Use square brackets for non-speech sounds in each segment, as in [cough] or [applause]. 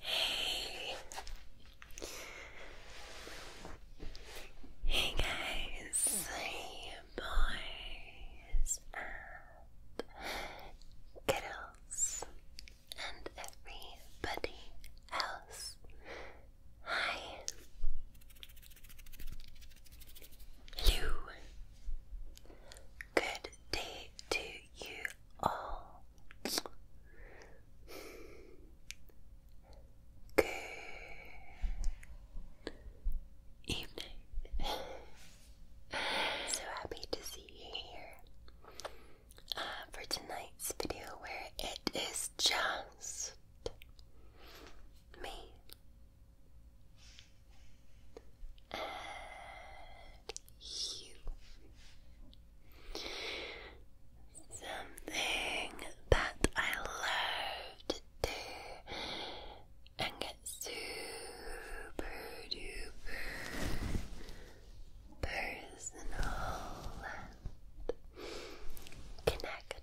Hey. Hey guys, boys and and everybody else. Hi. You Good day to you all. Good evening. so happy to see you here uh, for tonight's video where it is just me and you. Something that I love to and get super duper personal and connected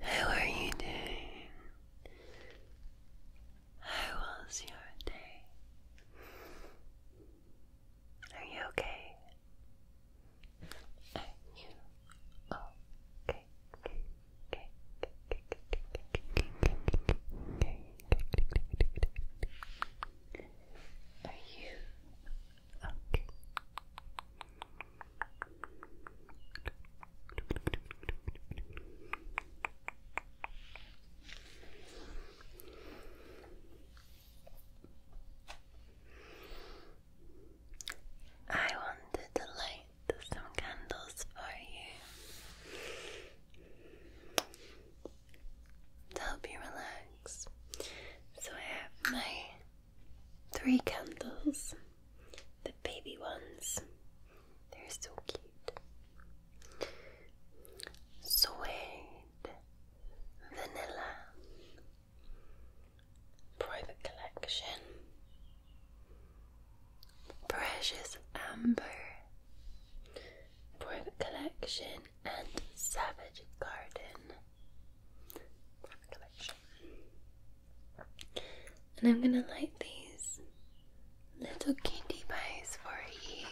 how are you doing? How was your day? Are you okay? Are you okay? okay, I wanted to light some candles for you to help you relax. So I have my three candles, the baby ones. They're so cute. Suede, vanilla, private collection, precious amber, private collection, and savage garden. And I'm gonna light these little candy pies for you.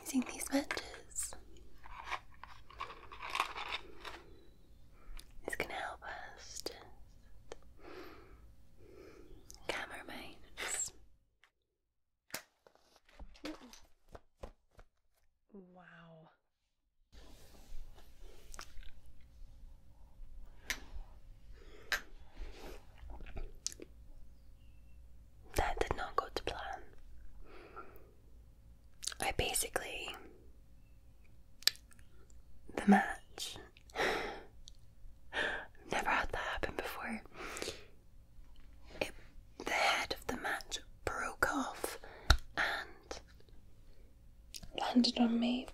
Using these matches is gonna help us just calm our Wow. That did not go to plan. I basically. The match. [sighs] never had that happen before the head of the mat broke off and landed on me.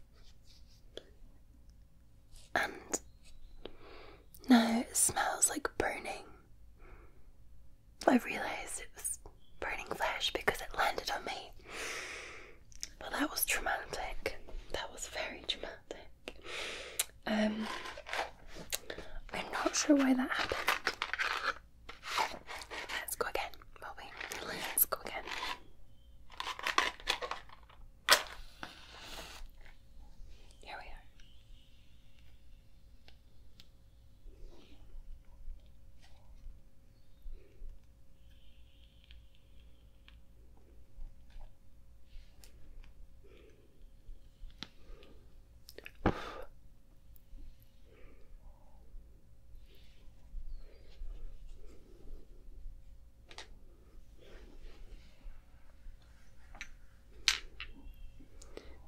And now it smells like burning. I realised it was burning flesh because it landed on me. But that was traumatic. That was very traumatic. Um, I'm not sure why that happened. Let's go again, will Let's go again. Here we are.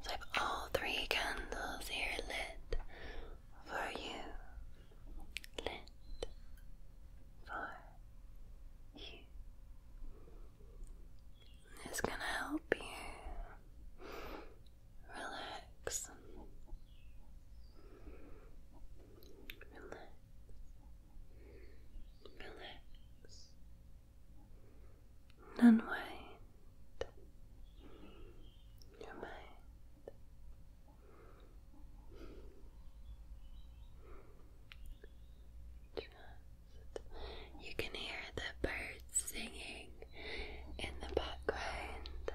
I have all three candles here lit for you. Lit for you. It's going to help you relax. Relax. Relax. Unwind your mind. You can hear the birds singing in the background.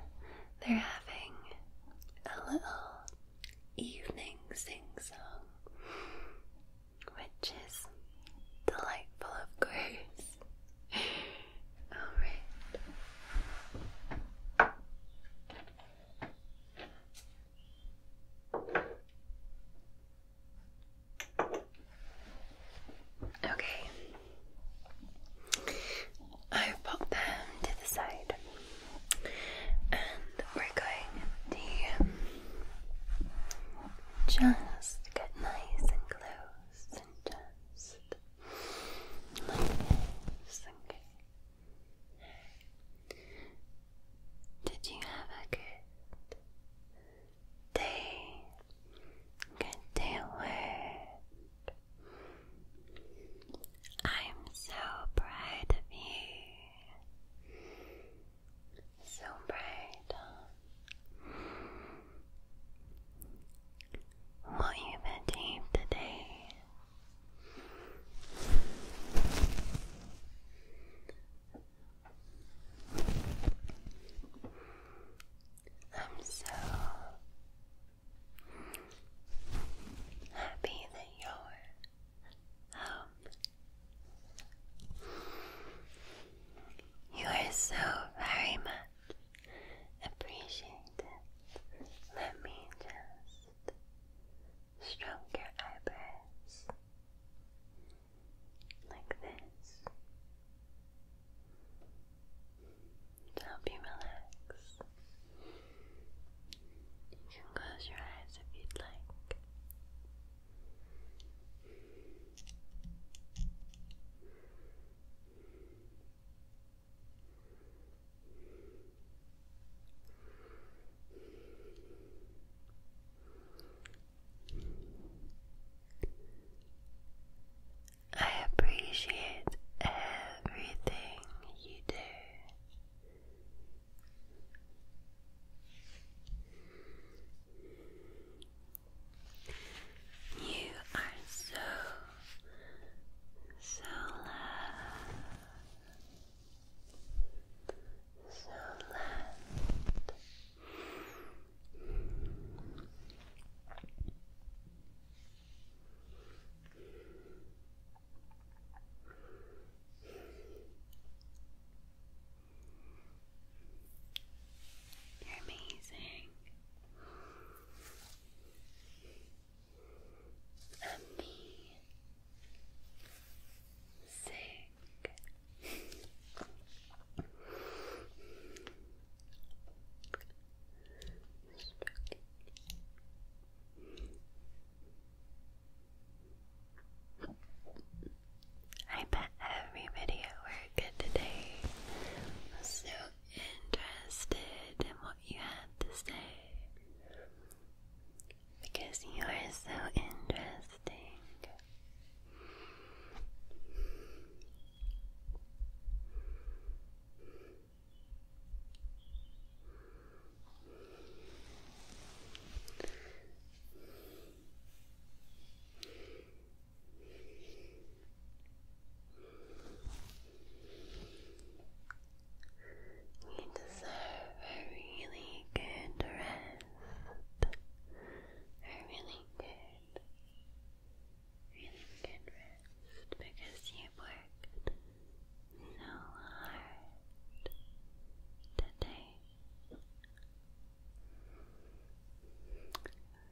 They're having a little evening sing song, which is delightful, of course. [laughs] Alright. Okay. I've popped them to the side. And we're going to just get nice and close and just like did you have a good day? Good day at I'm so proud of you. So proud. What you achieved today. I'm so happy that you're home. You are so very much appreciated. Let me just stroke your eyebrows like this to help you relax. You can close your eyes if you'd like. I appreciate everything you do. You are so, so loved. So You're amazing. And I bet every video we're good today was so interested in what you had to say because you are so interesting. You deserve a really good rest a really good, really good rest because you've worked hard today.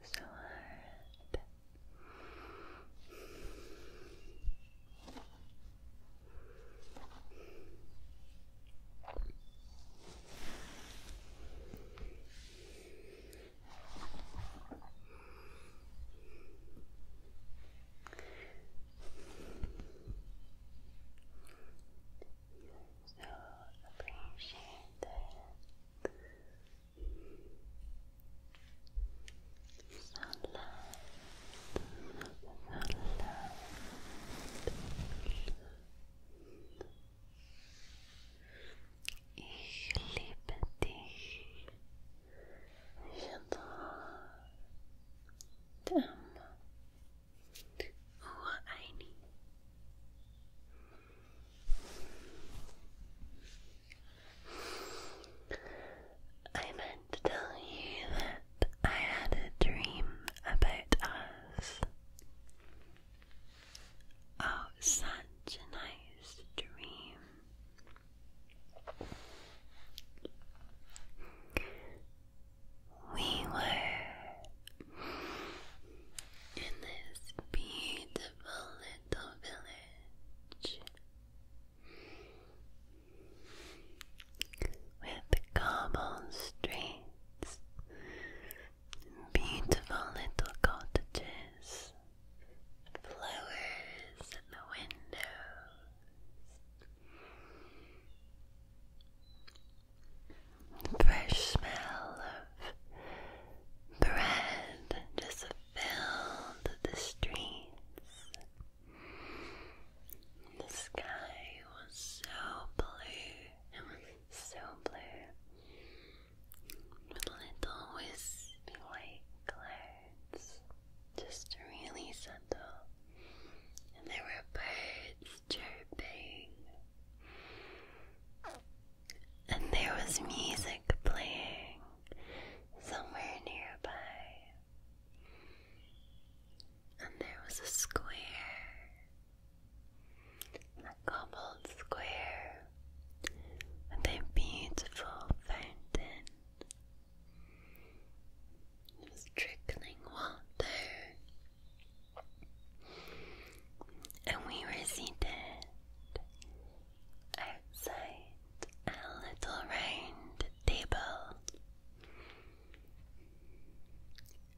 So hard. So appreciate that. So loud. So I meant to tell you that I had a dream about us. Oh, such a nice dream. We were in this beautiful little village with cobble streets Beautiful little cottages, flowers in the windows, fresh smell of bread just filled the streets. The sky was so blue, so blue with little wispy white clouds just really subtle and there were birds chirping and there was music playing somewhere nearby and there was a square, a cobbled square, with a beautiful fountain. It was trickling water, and we were seated outside a little round table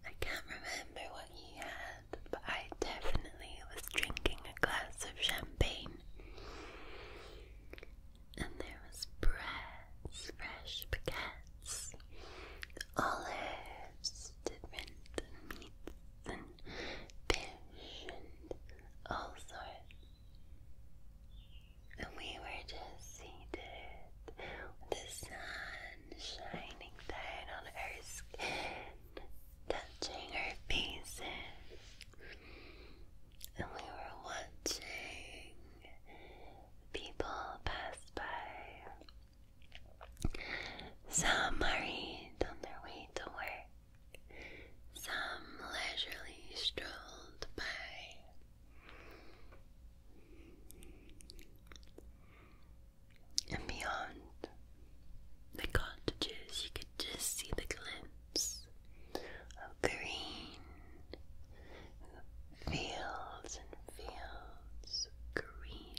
I can't remember what he had, but I definitely was drinking a glass of champagne. And there was bread, fresh baguettes, olives, different meats and fish and all sorts. And we were just seated with the sun shining down on her skin, touching her faces. And we were watching people pass by. Some hurried on their way to work, some leisurely strolled by and beyond the cottages, you could just see the glimpse of green fields and fields of green.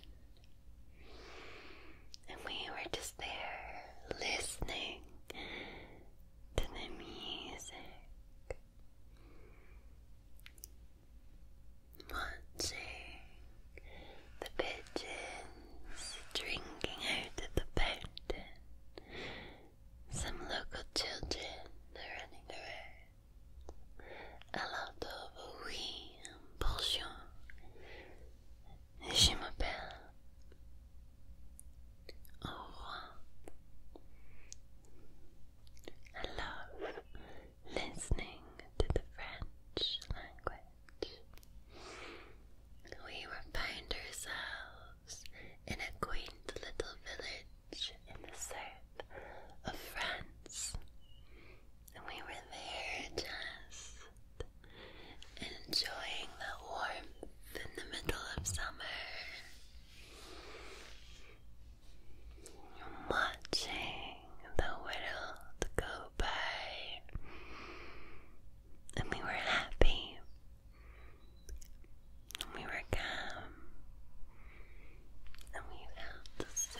And we were just there listening to the music watching the pigeons drinking out of the fountain. Some local children are running around. A lot of oui, bonjour. Je m'appelle. love listening to the French language, we will find ourselves in a quaint little village in the south of France. And we were there just enjoying the warmth in the middle of summer. You're watching the world go by, and we were happy, and we were calm, and we felt so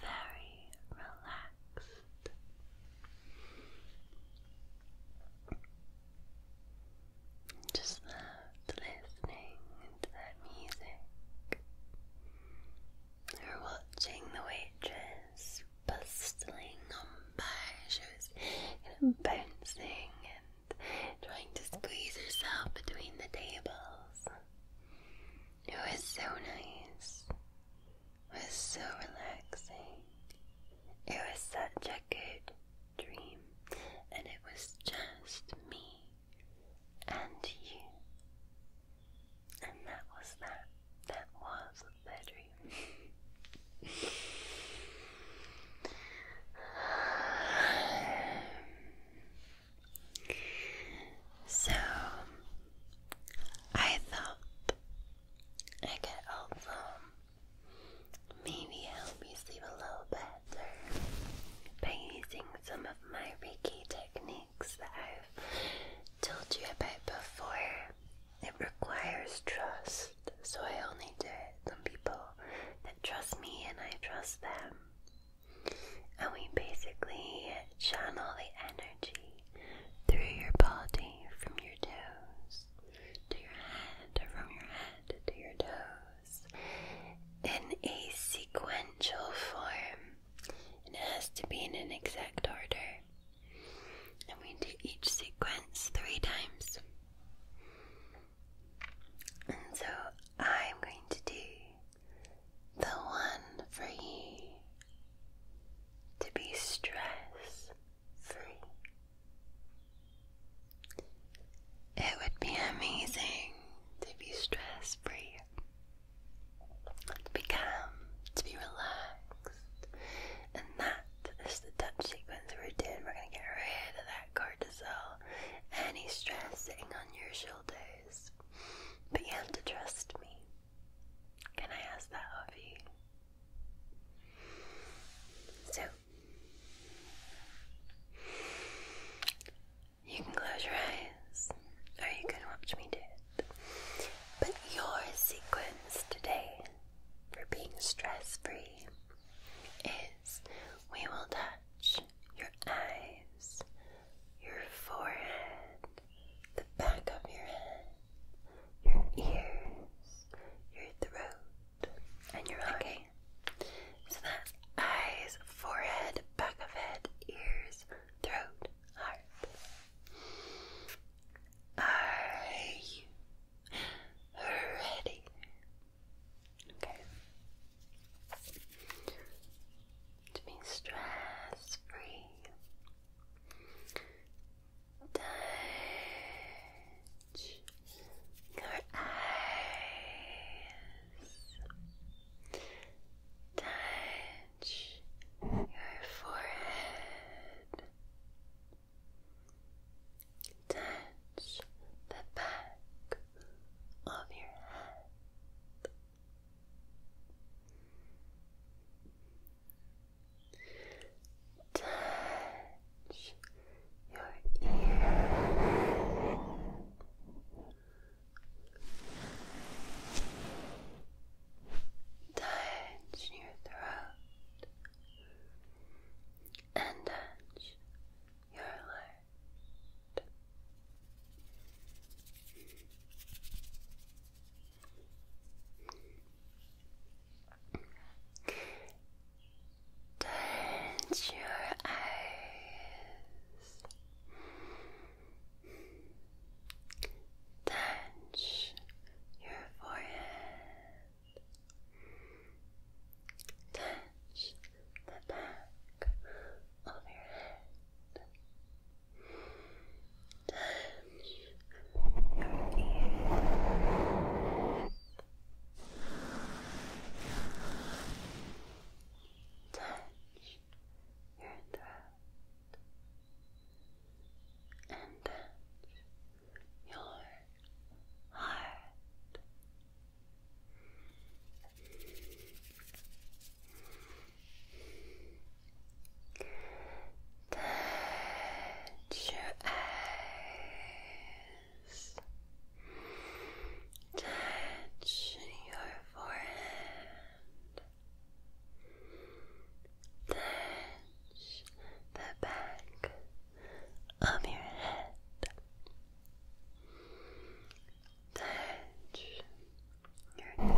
very relaxed. Just loved listening to that music. Or watching the waitress bustling on by. She was bouncing and trying to squeeze herself between the tables. It was so nice. It was so relaxing. It was such a good dream, and it was just me and you. And that was that. That was the bedroom. [sighs] so, I thought I could also maybe help you sleep a little better by using some of my Reiki techniques that I've told you about before. It requires trust, so I only do it on people that trust me and I trust them. And we basically channel the energy through your body from your toes to your head, or from your head to your toes, in a sequential form it has to be in an exact order. And we do each sequence three times. And so I'm going to do the one for you to be stress free. It would be amazing to be stress free. To be calm, to be relaxed. And that is the touch sequence we're We're going to get rid of that cortisol, any stress sitting on your shoulders. But you have to trust me. Can I ask that of you? So, you can close your eyes or you can watch me do it. But your sequence today for being stress free is we will touch your eyes, your forehead, the back of your head, your ears, your throat, and your heart. Okay. So that's eyes, forehead, back of head, ears, throat, are you ready? Okay. To be stress free. Touch your eyes. Touch touch your forehead, touch the back of your head. Touch your ear, Touch your throat and touch your heart. Touch your eyes. Touch your forehead. Touch the back of your head. Touch your ears. Touch your throat and touch your heart. Touch your eyes. Touch your forehead. Touch the back of your head. Touch your ear.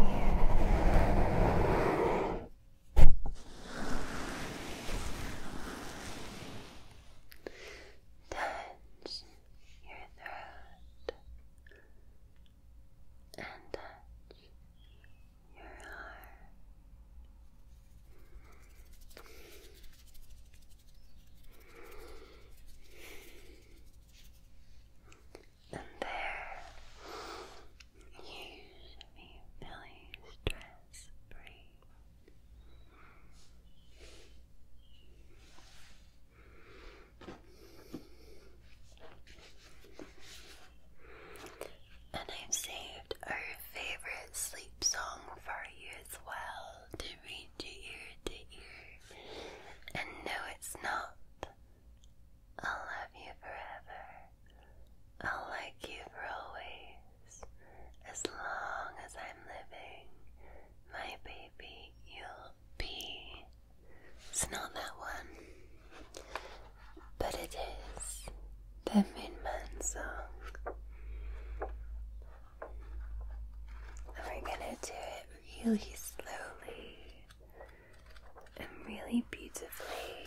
Touch your throat and touch your heart, And there you should be feeling stress free. And I've saved our favorite sleep song for you as well to read to you, to ear. And no, it's not. I'll love you forever. I'll like you for always. As long as I'm living, my baby, you'll be it's not that one, but it is the Moonman song. And we're gonna do it really slowly and really beautifully.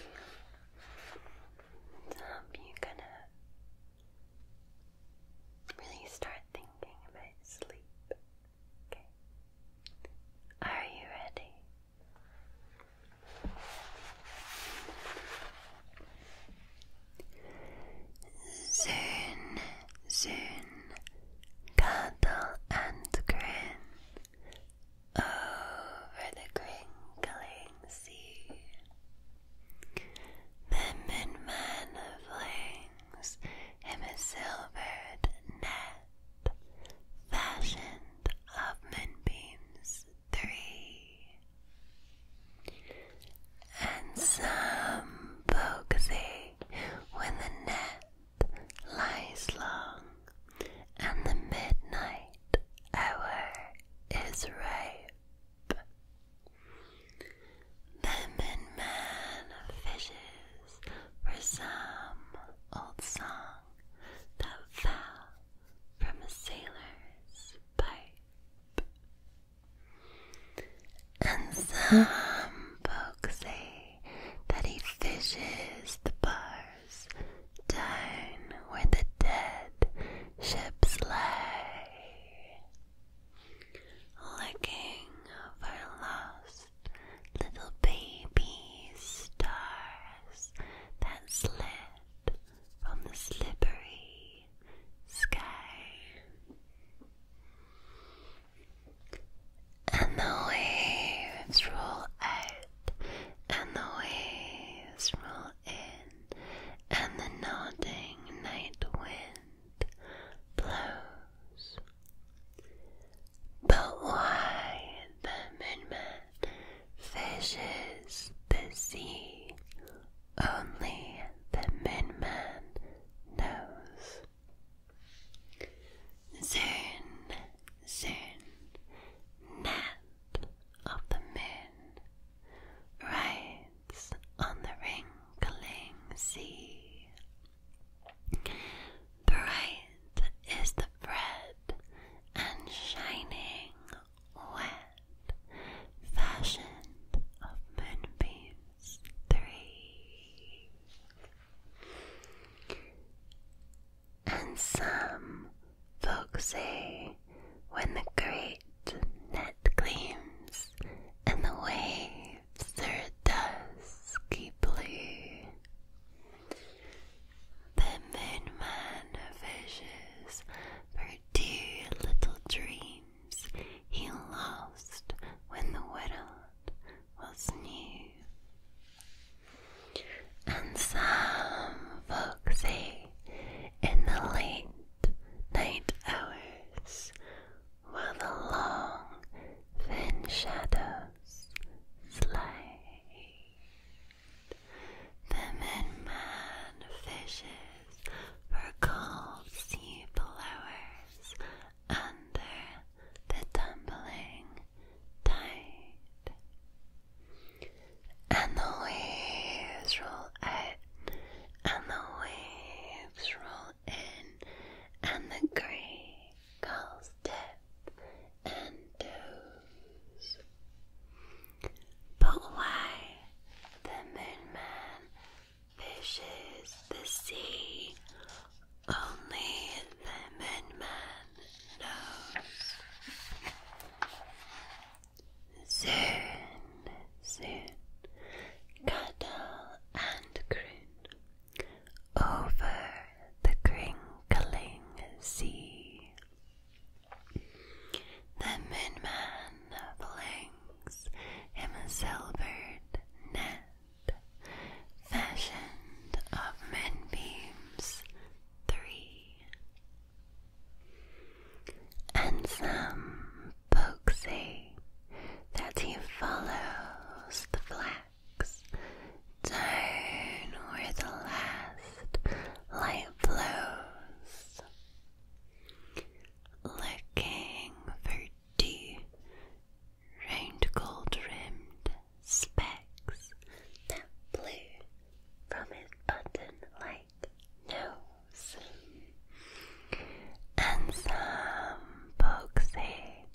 So um, you gonna really start thinking about sleep. Are you ready? Soon, soon, cuddle and grin over the crinkling sea. The midman flings him a silvered net. Fashion fashioned of moonbeams three, and some bogsy when the net lies long, and the midnight hour is ripe. The man fishes for some old song that fell from a sailor's pipe. And some folks say that he fishes the bars down where the dead ships lie, looking for lost little baby stars that slid from the slippery sky. And the waves roll out, and the waves roll in, and the nodding night wind blows. But why the moonman fishes the sea, only the moonman knows. Soon, soon, Nat of the moon rides on the wrinkling sea. Bright is the bread and shining wet, fashioned of moonbeams three. And some folks say when the great net gleams and the waves are dusky blue, the Moonman fishes for dear little dreams he lost when the world was new. And some folk say in the late night hours, while the long thin shadow slate. The midman fishes for cold sea flowers under the tumbling tide. And the waves roll out, and the waves roll in, and the great calves, death and toes. But why the moon man fishes the sea? Only the moon knows. Soon, soon, cattle and croon over the crinkling sea. The moonman flings him a silvered net, fashioned of moonbeams three, and some folks say that he follows the flag relax down where the last light flows. Looking for deep, round gold rimmed specs that blew from his button light nose. And some folks say,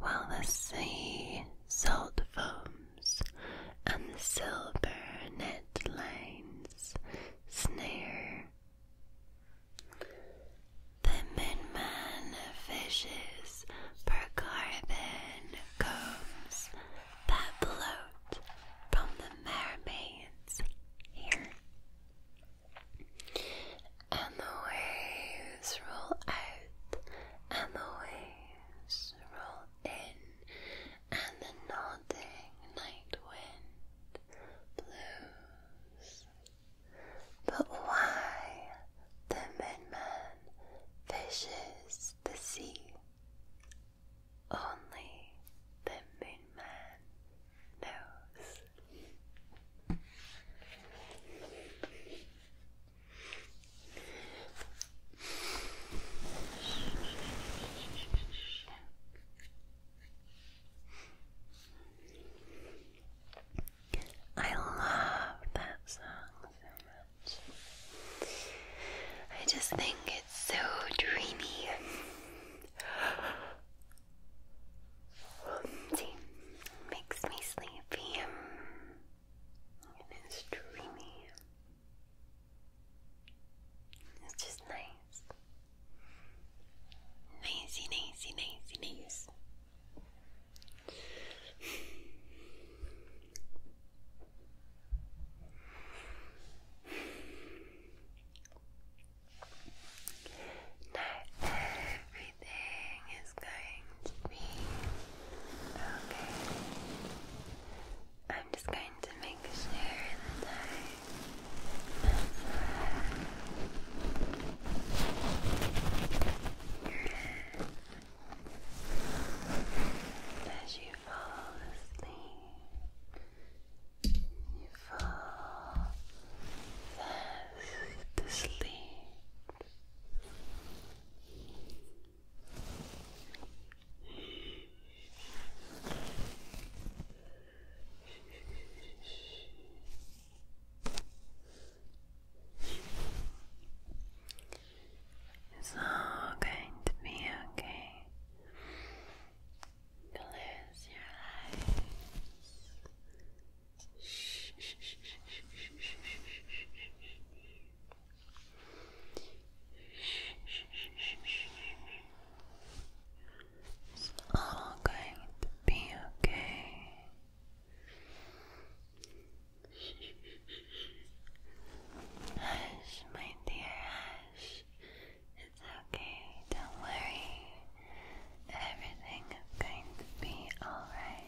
while the sea salt foams, and the silver net lines snare. The midman fishes per carbon combs that float from the mermaid's here, And the waves roll out, and the waves roll in, and the nodding night wind blows. But why the midman fishes the sea? Only the moonman knows. I love that song so much. I just think it's so dreamy. See, makes me sleepy and it's dreamy. It's just nice. Nicey, nicey, nicey, nice. now, I everything is going to be okay. I'm just going to make sure that I massage your head as you fall asleep. You fall fast asleep. It's all going to be okay. Close your eyes. It's all going to be okay. Hush, my dear, hush. It's okay, don't worry. Everything is going to be alright.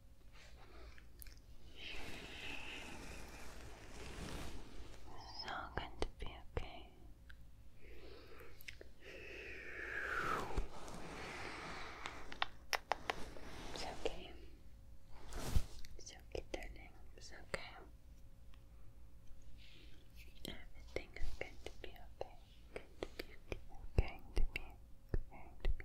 It's all going to be okay. It's okay. It's okay, darling. It's okay. Everything is going to be okay.